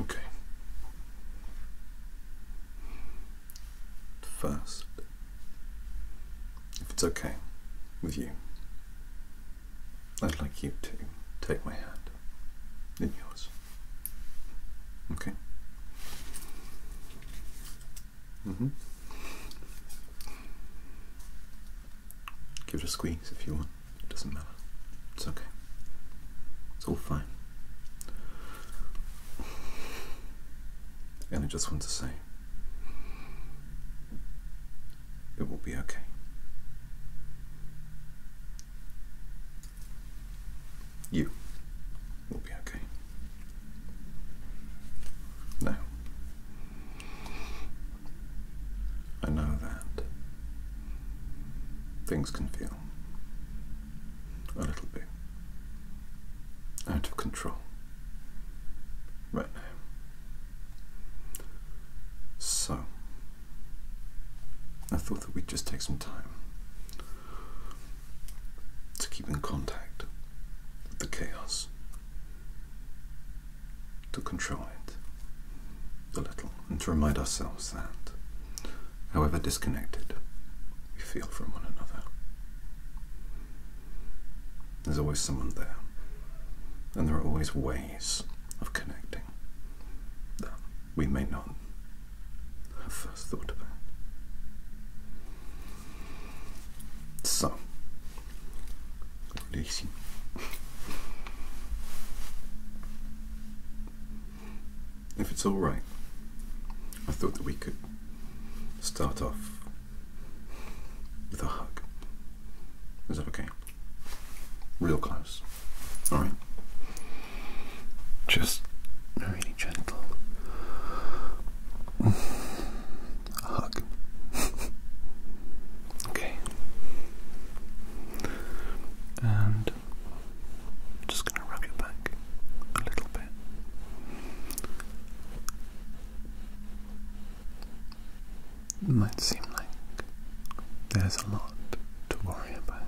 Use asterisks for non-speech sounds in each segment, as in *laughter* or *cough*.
Okay. First, if it's okay with you, I'd like you to take my hand in yours. Okay. Mm-hmm. Give it a squeeze if you want. It doesn't matter. It's okay. It's all fine. And I just want to say it will be okay. You will be okay. Now, I know that. Things can feel a little bit out of control right now. So, I thought that we'd just take some time to keep in contact with the chaos to control it a little and to remind ourselves that, however disconnected we feel from one another, there's always someone there, and there are always ways of connecting that we may not have first thought about. So, Relaxing. If it's alright, I thought that we could start off with a hug. Is that okay? Real close. Alright. Just very gentle a hug. *laughs* okay. And just going to rub your back a little bit. might seem like there's a lot to worry about.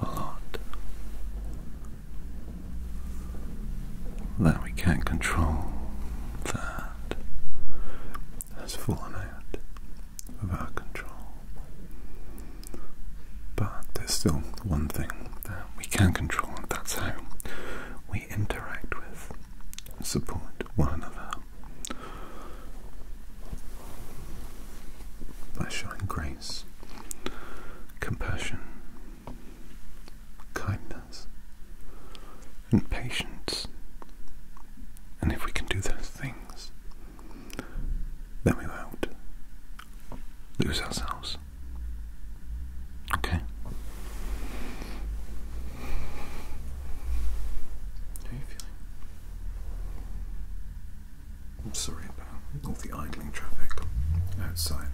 A lot that we can't control that has fallen out of our control. But there's still one thing that we can control, and that's how we interact with support one another by showing grace, compassion, kindness, and patience. And if we can do those things, then we won't lose ourselves. Okay? How are you feeling? I'm sorry all the idling traffic outside.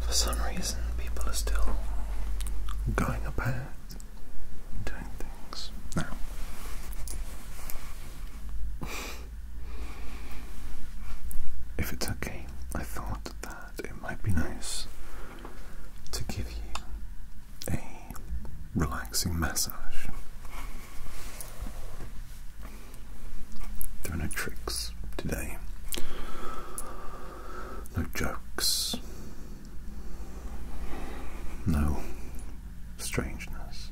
For some reason, people are still going about doing things now. If it's okay, I thought that it might be nice to give you a relaxing massage. There are no tricks today, no jokes, no strangeness,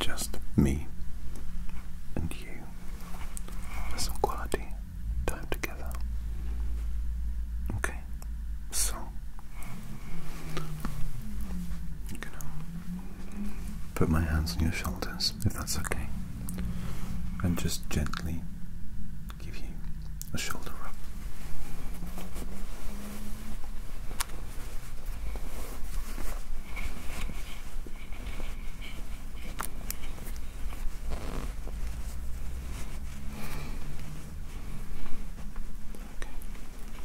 just me and you. some quality time together. Okay, so. You know, Put my hands on your shoulders, if that's okay, and just gently give you a shoulder rub.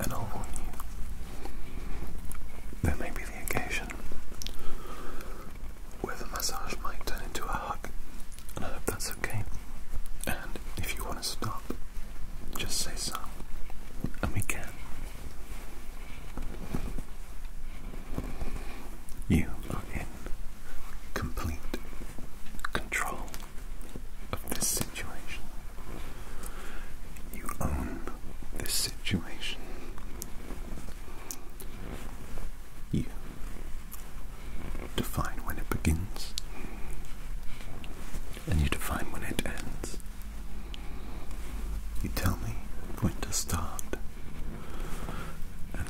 And I'll warn you, there may be the occasion where the massage might turn into a hug, and I hope that's okay. And if you want to stop, just say so, and we can. You are in complete control of this situation. You own this situation. You define when it begins, and you define when it ends. You tell me when to start,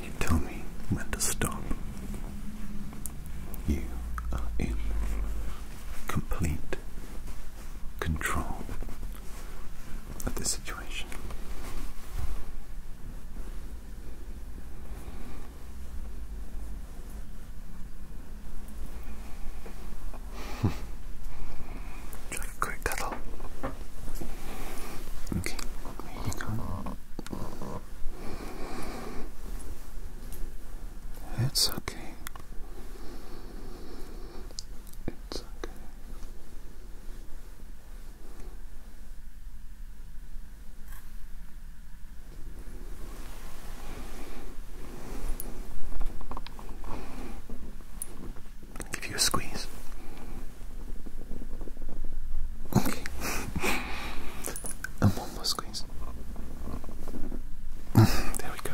you tell me when to stop. You are in complete control of the situation. Just *laughs* a quick cuddle. Okay, here you go. It's okay. It's okay. Give you a squeeze. Okay. and one more there we go.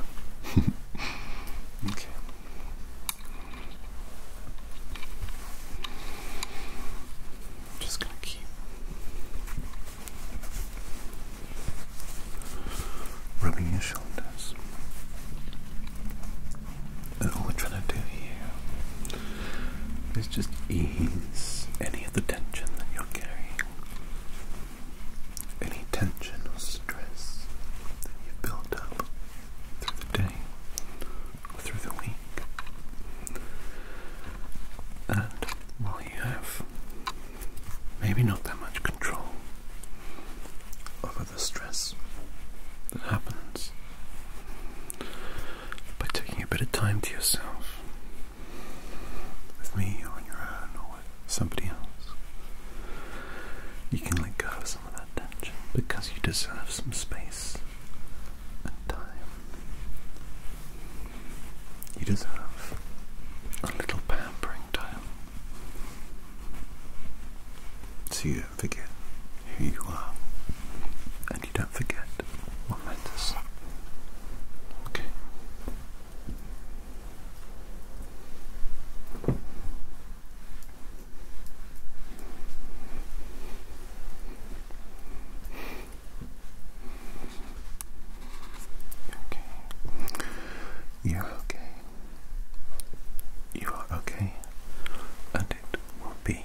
okay. Just gonna keep rubbing your shoulders and all we're trying to do here is just ease any of the tension that you're carrying, any tension or stress that you've built up through the day or through the week. And while you have maybe not that much control over the stress that happens, by taking a bit of time to yourself with me or on your own or with somebody else. You can let go of some of that tension because you deserve some space and time. You deserve a little pampering time. So you don't forget who you are, and you don't forget what matters. Okay. You're okay. You are okay, and it will be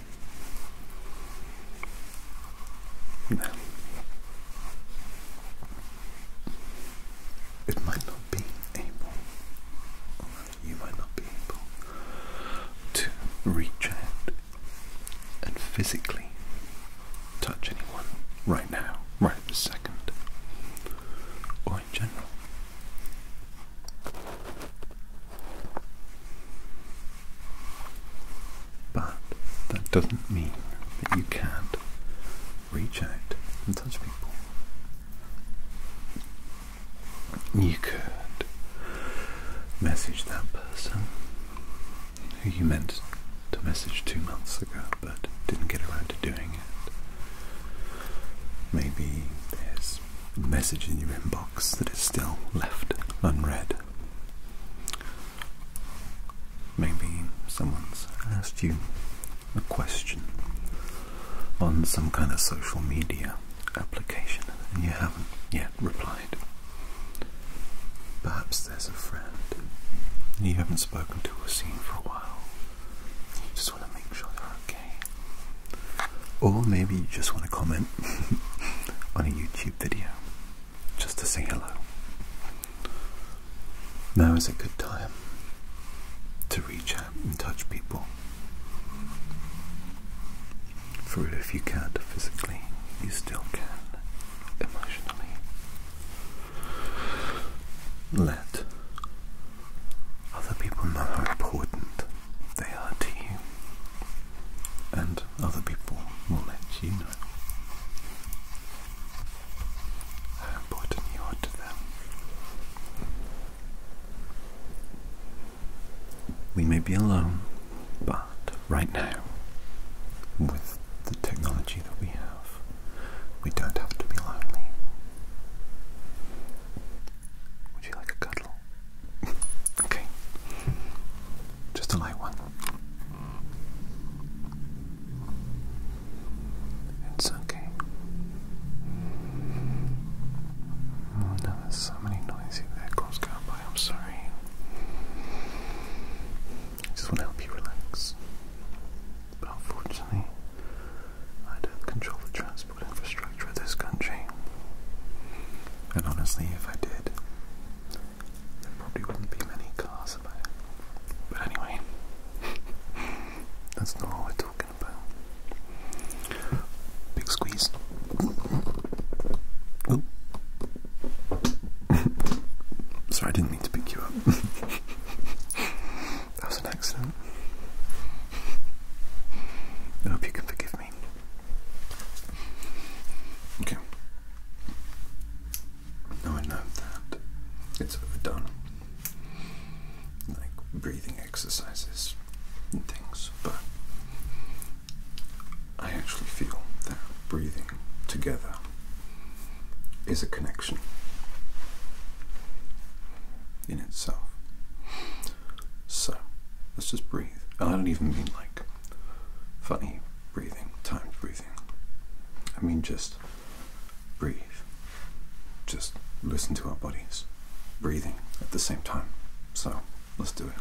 It might not be able, you might not be able, to reach out and physically touch anyone right now, right this second, or in general. But that doesn't mean that you can't reach out and touch people. You could message that person who you meant to message two months ago but didn't get around to doing it. Maybe there's a message in your inbox that is still left unread. Maybe someone's asked you a question on some kind of social media application and you haven't yet replied. Perhaps there's a friend you haven't spoken to or seen for a while. You just want to make sure they're okay. Or maybe you just want to comment *laughs* on a YouTube video just to say hello. Now is a good time to reach out and touch people. For if you can't physically, you still can emotionally. Let other people know how important they are to you and other people will let you know how important you are to them. We may be alone, but right now, with the technology that we have, we don't have to be lonely. Would you like a cuddle? okay. Just a light one. It's okay. Oh no, so many noisy vehicles going by, I'm sorry. I just want to help you relax. But unfortunately, I don't control the transmission infrastructure of this country. And honestly, if I did, there probably wouldn't be many cars about it. But anyway, *laughs* that's not all we're talking about. Big squeeze. Oh. *laughs* Sorry, I didn't mean to pick you up. *laughs* that was an accident. I hope you can forgive me. Okay. Now I know that it's overdone. Like breathing exercises and things, but I actually feel that breathing together is a connection in itself. So let's just breathe. And oh, I don't even mean like funny breathing, timed breathing. I mean just breathe. Just listen to our bodies breathing at the same time. So let's do it.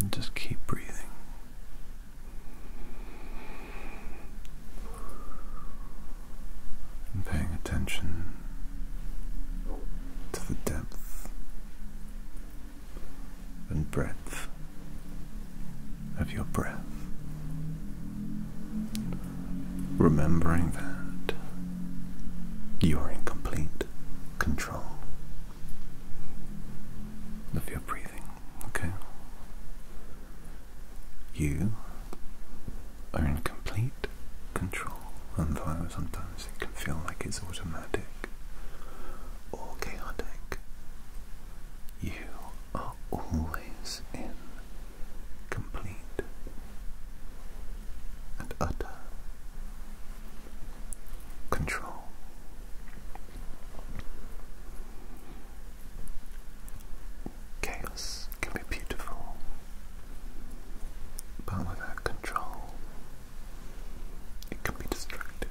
And just keep breathing. paying attention to the depth and breadth of your breath. Remembering that you are in complete control of your breathing, okay? You are in complete control, and sometimes it can feel like it's automatic or chaotic, you are always in complete and utter control. Chaos can be beautiful, but without control, it can be destructive.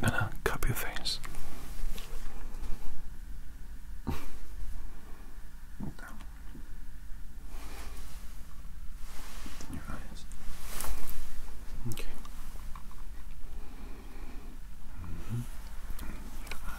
I'm gonna cup your face. Your eyes. Okay. Your eye.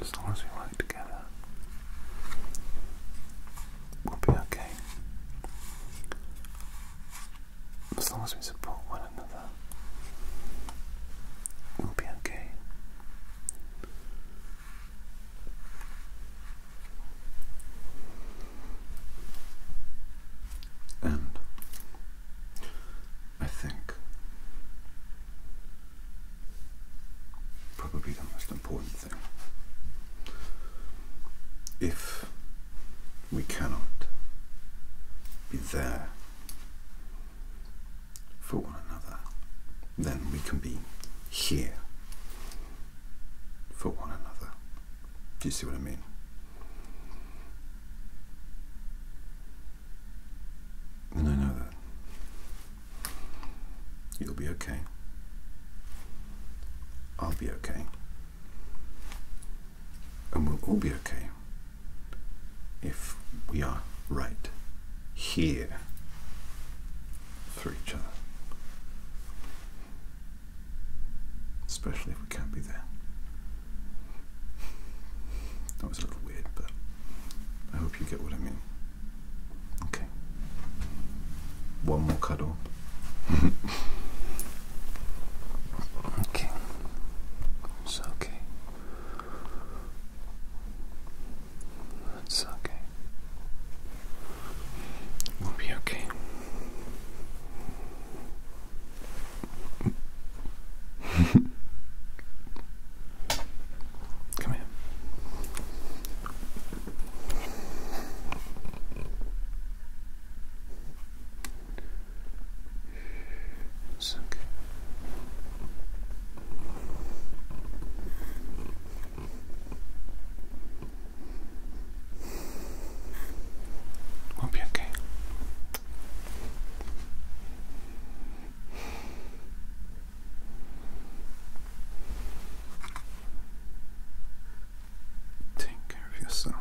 As long as we work together, we'll be okay. As long as we support one another, we'll be okay. And I think probably the most important thing if we cannot be there for one another, then we can be here for one another. Do you see what I mean? And I know that. You'll be okay. I'll be okay. And we'll all be okay if we are right here for each other. Especially if we can't be there. That was a little weird, but I hope you get what I mean. Okay. One more cuddle. *laughs* okay. It's okay. It's okay. We'll be okay. Come here. It's okay. We'll be okay. Take care of yourself.